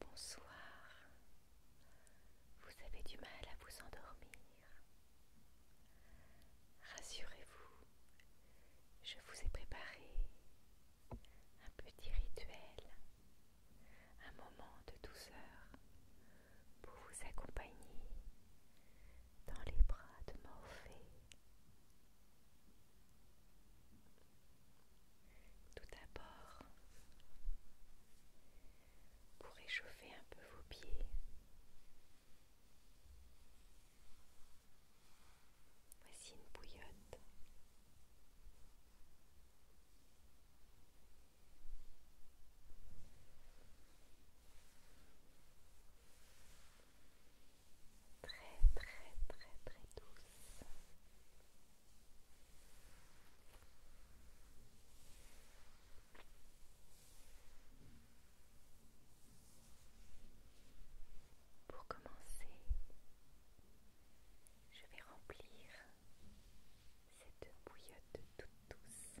Bonsoir. Vous avez du mal à vous endormir. Rassurez-vous, je vous ai préparé un petit rituel, un moment de douceur pour vous accompagner dans les bras de Morphée. Tout d'abord, pour échauffer un peu vos pieds, voici une bouillotte. Très très très très douce. Pour commencer, je vais remplir cette bouillotte toute douce.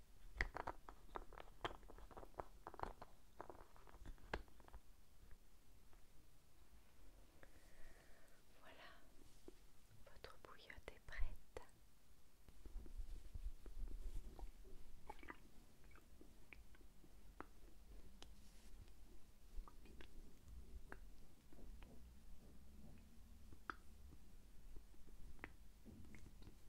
Voilà, votre bouillotte est prête.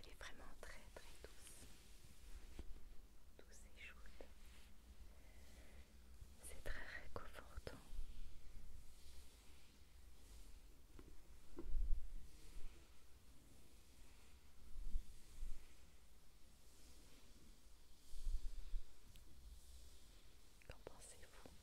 Elle est vraiment très très douce. Douce et chaude. C'est très réconfortant. Qu'en pensez-vous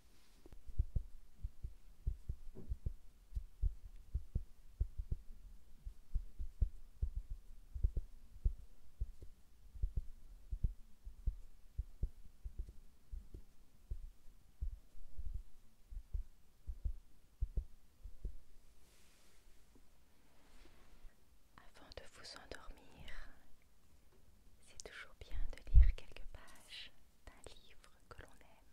Avant de vous endormir, c'est toujours bien de lire quelques pages d'un livre que l'on aime.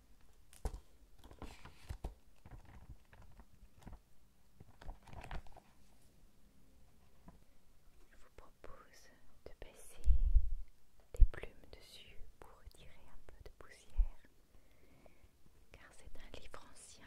Je vous propose de baisser des plumes dessus pour retirer un peu de poussière, car c'est un livre ancien.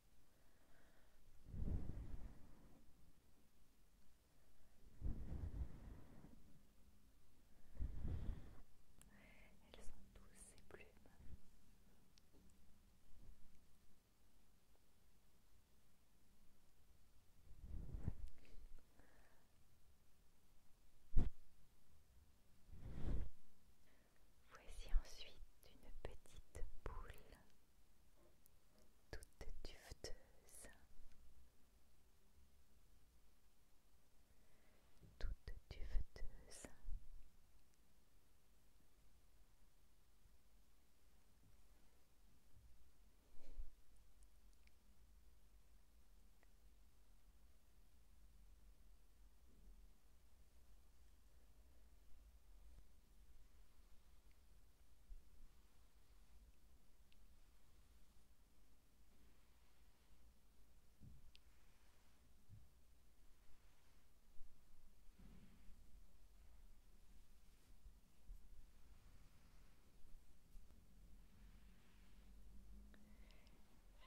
Elles sont douces ces plumes. Voici ensuite une petite boule toute duveteuse, toute duveteuse.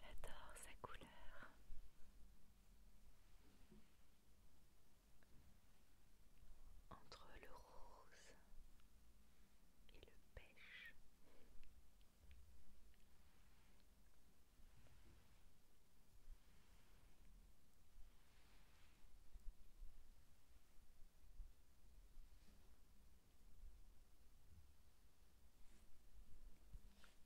J'adore sa couleur entre le rose et le pêche.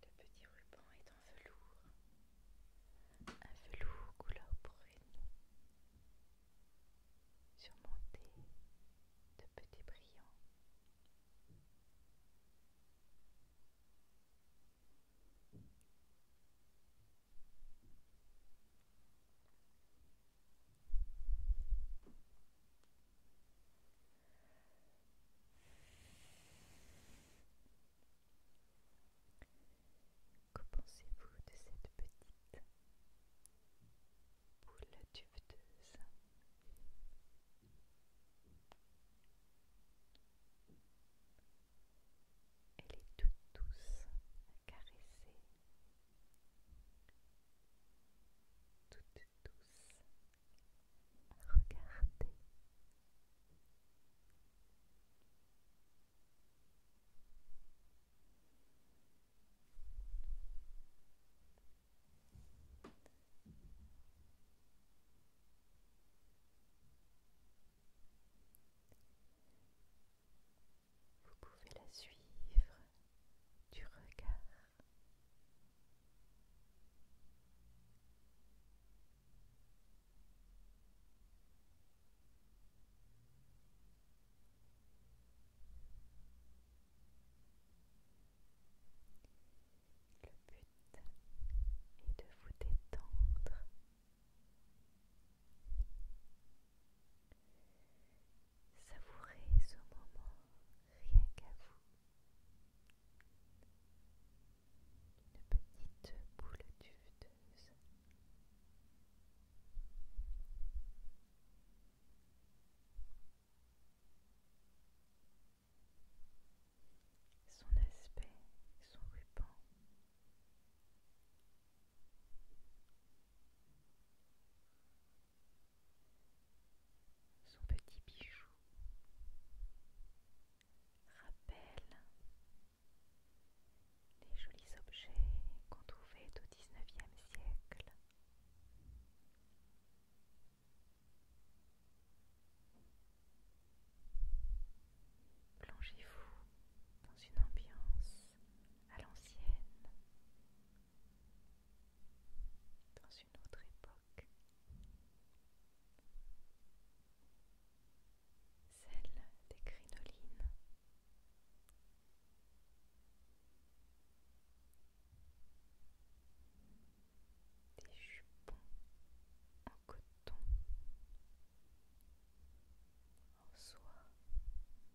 Le petit ruban est en velours, un velours couleur brune, surmonté de petits brillants. Que pensez-vous de cette petite boule duveteuse Elle est toute douce à caresser, toute tous Vous pouvez la suivre du regard. Le but est de vous détendre Savourez ce moment rien qu'à vous. Une petite boule duveteuse. Son aspect, son ruban son petit bijou rappelle les jolis objets qu'on trouvait au XIXe siècle. Plongez-vous dans une ambiance à l'ancienne, dans une autre époque, celle des crinolines. Des jupons en coton, en soie,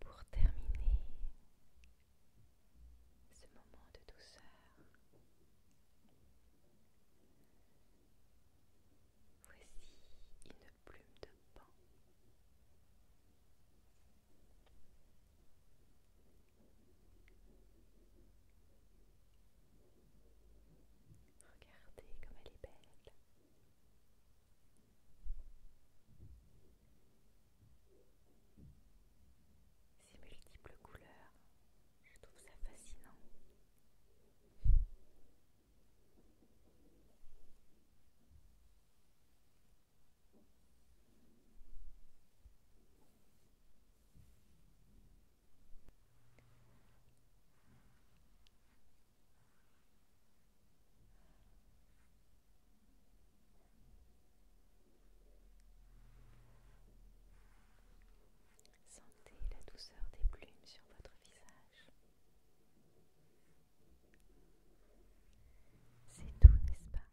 Pour terminer ce moment de douceur, voici une plume de pain Regardez comme elle est belle. Ces multiples couleurs, je trouve ça fascinant. Sentez la douceur des plumes sur votre visage. C'est tout, n'est-ce pas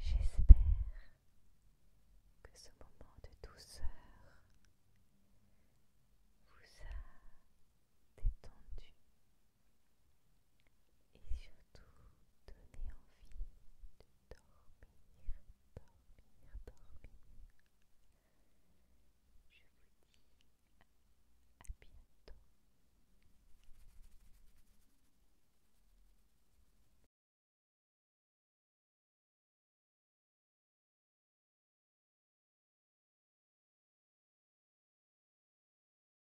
J'espère que ce moment de douceur vous a détendu et surtout donner envie de dormir, dormir, dormir. Je vous dis à bientôt.